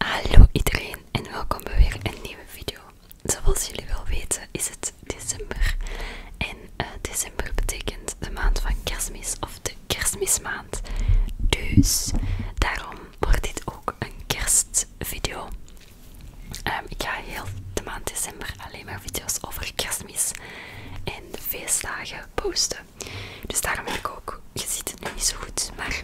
hallo iedereen en welkom bij weer een nieuwe video. Zoals jullie wel weten is het december en eh, december betekent de maand van kerstmis of de kerstmismaand. Dus daarom wordt dit ook een kerstvideo. Ehm, ik ga heel de maand december alleen maar video's over kerstmis en feestdagen posten. Dus daarom heb ik ook, je ziet het nu niet zo goed, maar...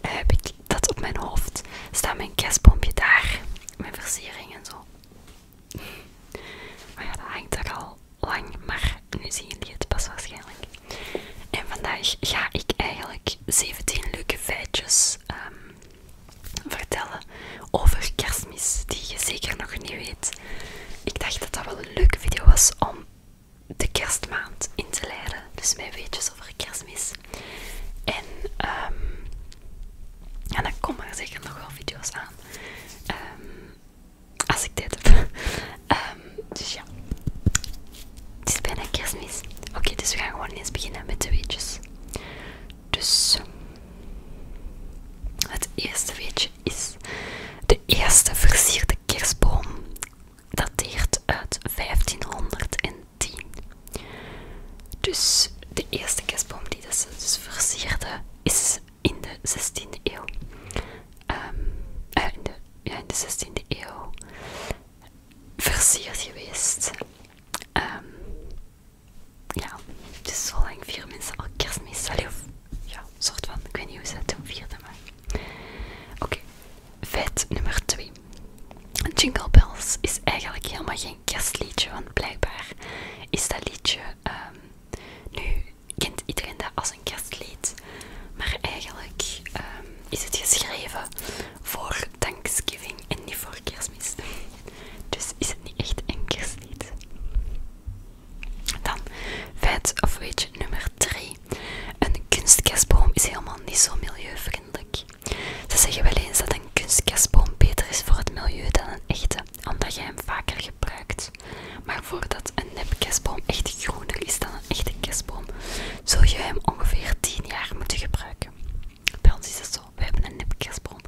Heb ik dat op mijn hoofd? Staat mijn kerstbompje daar? Mijn versiering en zo. Maar ja, dat hangt er al lang, maar nu zien jullie het pas waarschijnlijk. En vandaag ga ik eigenlijk 17 leuke feitjes ehm, vertellen over kerstmis, die je zeker nog niet weet. Ik dacht dat dat wel een leuke video was om de kerstmaand in te leren, Dus mijn weetjes over kerstmis. En, ehm en dan komen er zeker nog wel video's aan. Ehm als ik dit heb. Ehm, dus ja. Het is bijna kerstmis. Oké, dus we gaan gewoon eens beginnen met de weetjes. Dus het eerste weetje is de eerste versierde kerstboom dateert uit 1510. Dus de eerste kerstboom die ze dus, dus versierde is in de 16e eeuw. Ehm, eh, in de, ja, in de 16e eeuw versierd geweest. Ehm ja, dus zolang vier mensen al kerstmis, allee, of ja, soort van, ik weet niet hoe ze het toen vierden, maar... Oké, feit nummer 2. Jingle Bells is eigenlijk helemaal geen kerstliedje, want blijkbaar is dat liedje... ehm nu kent iedereen dat als een kerstlied, maar eigenlijk ehm, is het geschreven voor Thanksgiving en niet voor kerstmis. Dus is het niet echt een kerstlied. Dan feit of weetje nummer 3. Een kunstkerstboom is helemaal niet zo milieuvriendelijk. Ze zeggen wel eens dat een kunstkerstboom beter is voor het milieu dan een echte, omdat je hem vaker gebruikt. Maar voordat een nepkerstboom echt groener is dan een echte kerstboom, zul je hem ongeveer 10 jaar moeten gebruiken. Bij ons is het zo, we hebben een nipkersbron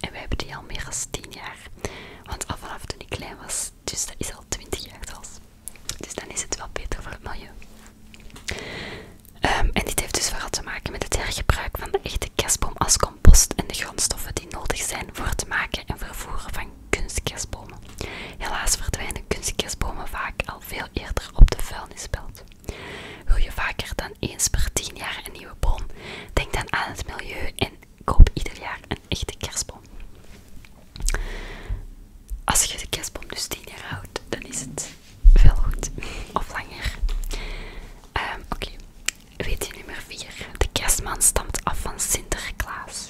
en we hebben die al meer dan 10 jaar. Want al vanaf toen ik klein was, dus dat is al 20 jaar zelfs. Dus dan is het wel beter voor het milieu. Ehm, en dit heeft dus vooral te maken met het hergebruik van de echte kerstboom als compost en de grondstoffen die nodig zijn voor het maken en vervoeren van kunstkerstbomen. Helaas verdwijnen kunstkerstbomen vaak veel eerder op de vuilnisbelt. Wil je vaker dan eens per 10 jaar een nieuwe boom? Denk dan aan het milieu en koop ieder jaar een echte kerstboom. Als je de kerstboom dus 10 jaar houdt, dan is het veel goed. Of langer. Ehm, oké, weet je nummer 4. De kerstman stamt af van Sinterklaas.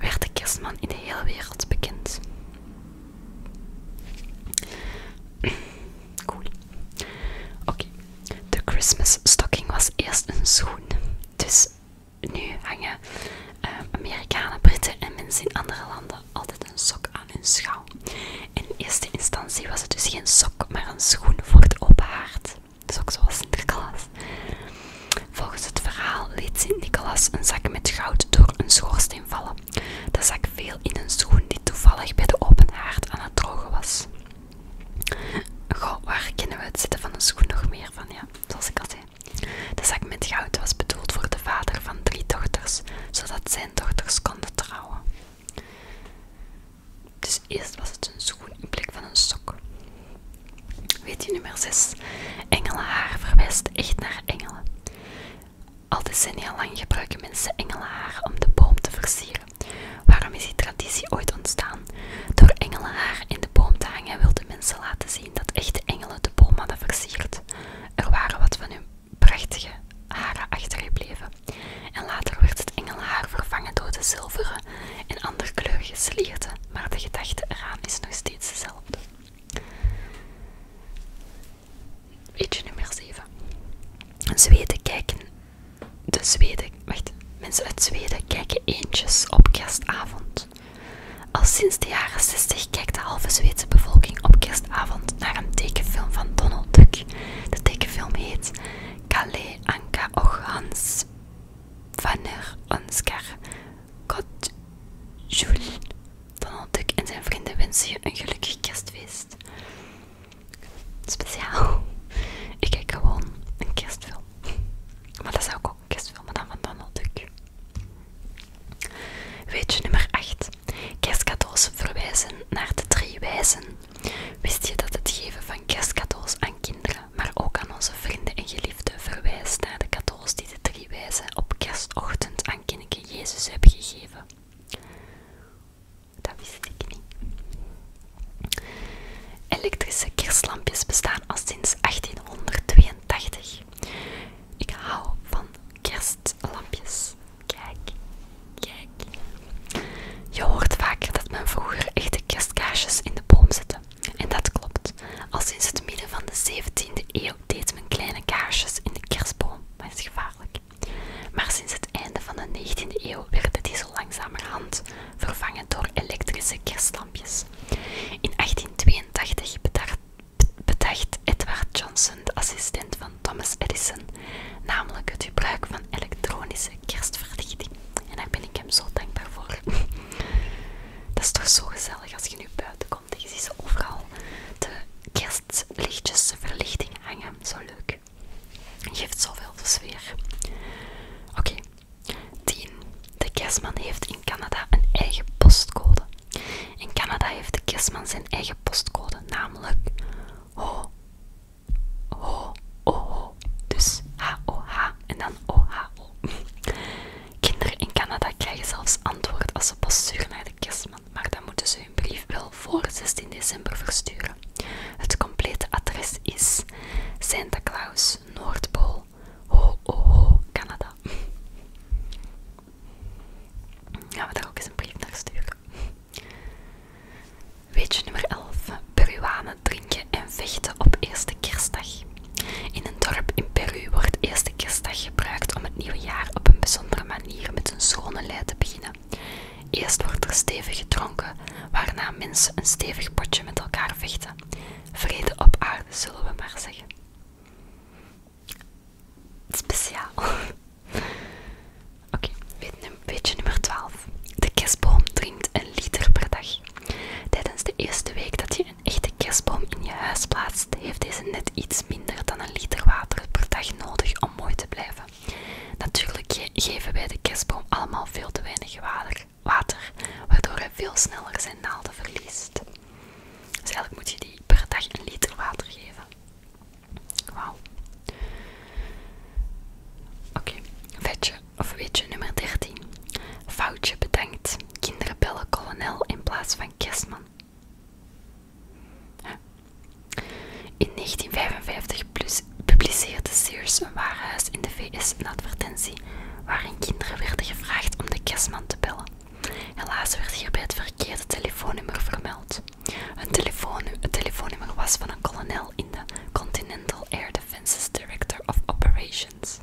werd de kerstman in de hele wereld bekend. Cool. Oké, de Christmas stocking was eerst een schoen. Dus nu hangen eh, Amerikanen, Britten en mensen in andere landen altijd een sok aan hun schouw. In eerste instantie was het dus geen sok, maar een schoen voor het open haard. Dus ook zoals Volgens het verhaal liet Sint-Nicolaas een zak met goud door een schoorsteen vallen. De zak viel in een schoen die toevallig bij de open haard aan het drogen was. Goh, waar kennen we het zitten van een schoen nog meer van, ja, zoals ik al zei. De zak met goud was bedoeld voor de vader van drie dochters, zodat zijn dochters konden trouwen. Dus eerst was het een schoen in plek van een sok. Weet je nummer 6? Engelenhaar verwijst echt naar engelen. Al decennia lang gebruiken mensen engelenhaar om de boom te versieren. Waarom is die traditie ooit ontstaan? Door engelenhaar in de boom te hangen wilden mensen laten zien dat echte engelen de boom hadden versierd. Er waren wat van hun prachtige haren achtergebleven. En later werd het engelhaar vervangen door de zilveren en andere kleurige slierten, maar de gedachte eraan is nog steeds dezelfde. Beetje nummer 7. Zweden kijken. De Zweden. Wacht. Mensen uit Zweden kijken eentjes op kerstavond. Al sinds de jaren 60 kijkt de halve Zweedse bevolking op kerstavond naar een tekenfilm van Donald Duck. De tekenfilm heet Kalle Anka och Hans Vanner Onskar Jules, Donald Duck en zijn vrienden wensen je een gelukkig kerstfeest. Speciaal. Ik kijk gewoon een kerstfilm. Maar dat zou ook een kerstfilm, maar dan van Donald Duck. Weetje nummer 8. Kerstcadeaus verwijzen naar de drie wijzen. Wist je dat het geven van kerstcadeaus aan kinderen maar ook aan onze vrienden en geliefden verwijst naar de cadeaus die de drie wijzen op kerstochtend aan kindje Jezus hebben gegeven. Dat wist ik niet. Elektrische kerstlampjes bestaan al sinds 1882. Ik hou van kerstlampjes. Kijk, kijk. Je hoort vaker dat men vroeger echte kerstkaarsjes in de boom zette. En dat klopt. Al sinds het midden van de 17e eeuw deed men kleine kaarsjes in de kerstboom, maar is gevaarlijk. Maar sinds het einde van de 19e eeuw werden die zo langzamerhand vervangen door elektrische kerstlampjes. In 1882 bedacht, Edward Johnson, de assistent van Thomas Edison, namelijk het gebruik van elektronische kerstverlichting. En daar ben ik hem zo dankbaar voor. Dat is toch zo gezellig als je nu buiten komt en je ziet overal de kerstlichtjes, de verlichting hangen. Zo leuk. Geeft zoveel sfeer. Oké. Okay. 10. De kerstman heeft in Canada een eigen postcode. In Canada heeft de kerstman zijn eigen postcode, namelijk ho, ho, o, Dus h o -H en dan O-H-O. Kinderen in Canada krijgen zelfs antwoord als ze pas sturen naar de kerstman, maar dan moeten ze hun brief wel voor 16 december versturen. Het complete adres is Santa Claus, Noordpool, ho, ho, Canada. Gaan we daar ook eens een brief naar sturen. Weetje nummer 11. Peruanen drinken en vechten op eerste kerstdag. In een dorp in Peru wordt eerste kerstdag gebruikt om het nieuwe jaar op een bijzondere manier met een schone lei te beginnen. Eerst wordt er stevig gedronken, waarna mensen een stevig potje met elkaar vechten. Vrede op aarde, zullen we maar zeggen. Speciaal. Oké, weet beetje nummer 12. De kerstboom drinkt een liter per dag. Tijdens de eerste week dat je een echte kerstboom in je huis plaatst, heeft deze net iets minder dan een liter water per dag nodig om mooi te blijven. Natuurlijk geven wij de kerstboom allemaal veel te weinig water, waardoor hij veel sneller zijn naalden verliest. Dus eigenlijk moet je die per dag een liter water geven. Wauw. Oké, vetje of weet je, nummer 13. Foutje bedankt. Kinderen bellen kolonel in plaats van kerstman. In 1955 publiceerde Sears een warenhuis in de VS een advertentie waarin kinderen werden gevraagd om de kerstman te bellen. Helaas werd hierbij het verkeerde telefoonnummer vermeld. Een het telefoonnummer was van een kolonel in de Continental Air Defense's Director of Operations.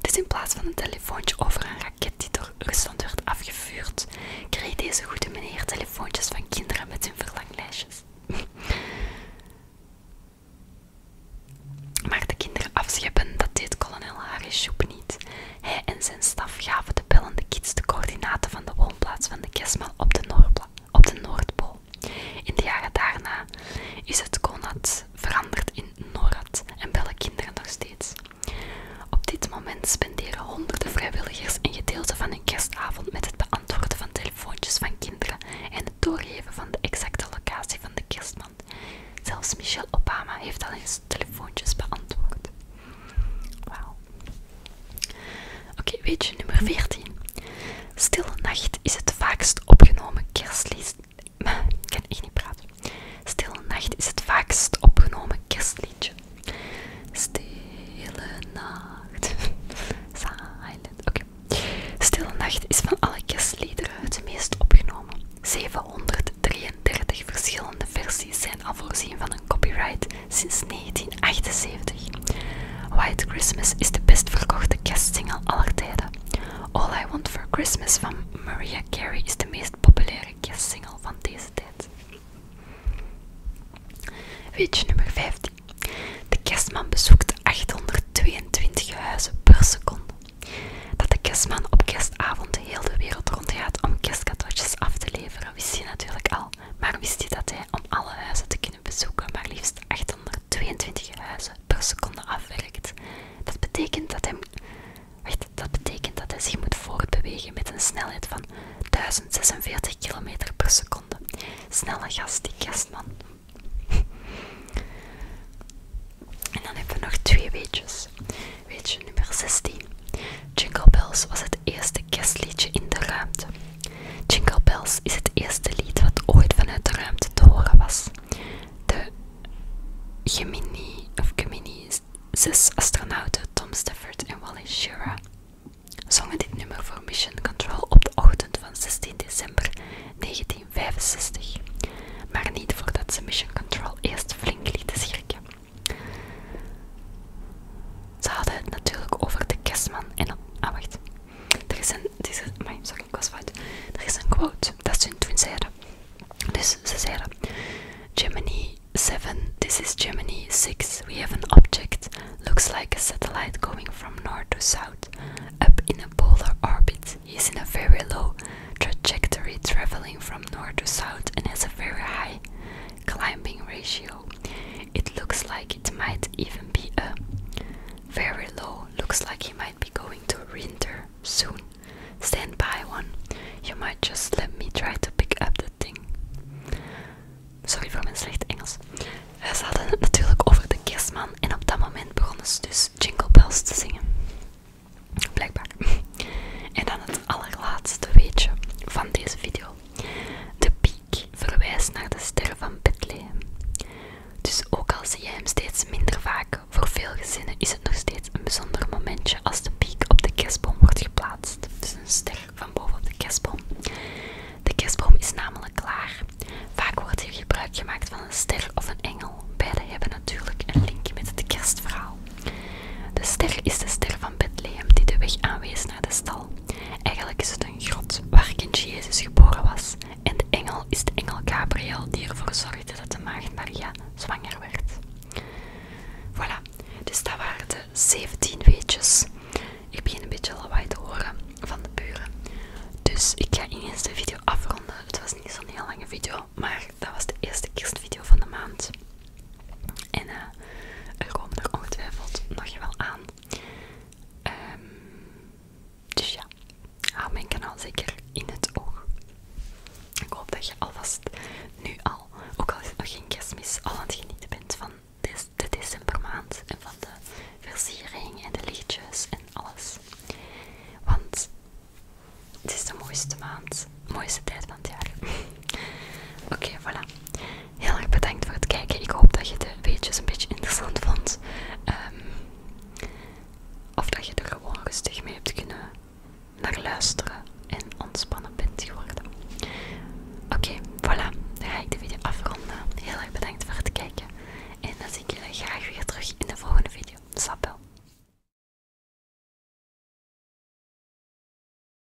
Dus in plaats van een telefoontje over een raket die door Rusland werd afgevuurd, kreeg deze goede meneer telefoontjes van kinderen met hun verlanglijstjes. Maar de kinderen afscheppen, dat deed kolonel Shoep niet. Hij en zijn staf gaven de bellende kids de coördinaten van de woonplaats van de kerstman op de Noordpool. In de jaren daarna is het konat veranderd in NORAD en bellen kinderen nog steeds. Op dit moment spenderen honderden vrijwilligers een gedeelte van een kerstavond met het beantwoorden van telefoontjes van kinderen en het doorgeven van de exacte locatie van de kerstman. Zelfs Michelle Obama heeft al eens telefoontjes beantwoord. Wauw. Oké, weet je, nummer 14. Stille Nacht is het vaakst opgenomen kerstlied. ik kan echt niet praten. Stille Nacht is het vaakst opgenomen kerstliedje. Stille Nacht. Silent. Oké. Stille Nacht is van alle kerstliederen het meest opgenomen. 733 verschillende versies zijn al voorzien van een copyright sinds 1978. White Christmas is de best verkochte kerstsingle aller tijden. All I Want for Christmas van Maria Carey is de meest populaire kerstsingle van deze tijd. Weetje nummer 15. De kerstman bezoekt 822 huizen per seconde. Dat de kerstman op kerstavond de hele wereld rondgaat om kerstcadeautjes af te leveren, wist hij natuurlijk al. Maar wist hij dat hij om alle huizen te kunnen bezoeken maar liefst 822 huizen per seconde afwerkt. Dat betekent dat hij, wacht, dat betekent dat hij zich moet voortbewegen met een snelheid van 1046 km per seconde. Snelle gast, die gastman. En dan hebben we nog twee weetjes. Weetje nummer 16. Jingle Bells was het eerste kerstliedje in de ruimte. Jingle Bells is het eerste lied wat ooit vanuit de ruimte te horen was. De Gemini, of Gemini zes astronauten Tom Stafford en Wallace Schirra zongen dit nummer voor Mission Control op de ochtend van 16 december 1965, maar niet voordat ze Mission Control eerst flink lieten schrikken. Ze hadden het natuurlijk over de kerstman en... Ah, wacht. This is my sorry, Gosford. Er is een quote, dat is in Germany 7, this is Gemini 6. We have an object, looks like a satellite going from north to south, up in a polar orbit. It's in a very low trajectory, traveling from north to south, and has a very high climbing ratio. It looks like it might even be a very low. Looks like he might be going to winter soon. Stand by one. You might just let me try to pick up the thing. Sorry for my slecht Engels. Eh, ze hadden het natuurlijk over de kerstman en op dat moment begonnen ze dus Jingle Bells te zingen. Blijkbaar. En dan het allerlaatste weetje van deze video. De piek verwijst naar de ster van Bethlehem. Dus ook al zie je hem steeds minder vaak, voor veel gezinnen is het nog steeds een bijzonder momentje als de piek op de kerstboom wordt geplaatst. Dus een ster van boven op de kerstboom. De kerstboom is namelijk klaar. Vaak wordt hier gebruik gemaakt van een ster of een engel. Beide hebben natuurlijk een link met het kerstverhaal. De ster is de ster van Bethlehem die de weg aanwees naar de stal. Eigenlijk is het een grot waar kind Jezus geboren was en de engel is de engel Gabriel die ervoor zorgde dat de maagd Maria zwanger werd. Voilà, dus dat waren de 17 weetjes. Ik begin een beetje lawaai te horen van de buren. Dus ik ga ineens de video afronden. Het was niet zo'n heel lange video, maar dat was de eerste kerstvideo van de maand. En eh, er komen er ongetwijfeld nog je wel aan. Ehm dus ja, hou mijn kanaal zeker in het oog. Ik hoop dat je alvast nu al, ook al geen kerstmis, al aan het genieten bent van de, de decembermaand en van de versiering en de lichtjes en alles. Want het is de mooiste maand, mooiste tijd van het jaar. Oké, voilà. Heel erg bedankt voor het kijken. Ik hoop dat je de weetjes een beetje interessant vond. Ehm, of dat je er gewoon rustig mee hebt kunnen naar luisteren en ontspannen bent geworden. Oké, voilà. Dan ga ik de video afronden. Heel erg bedankt voor het kijken. En dan zie ik jullie graag weer terug in de volgende video. Sapel.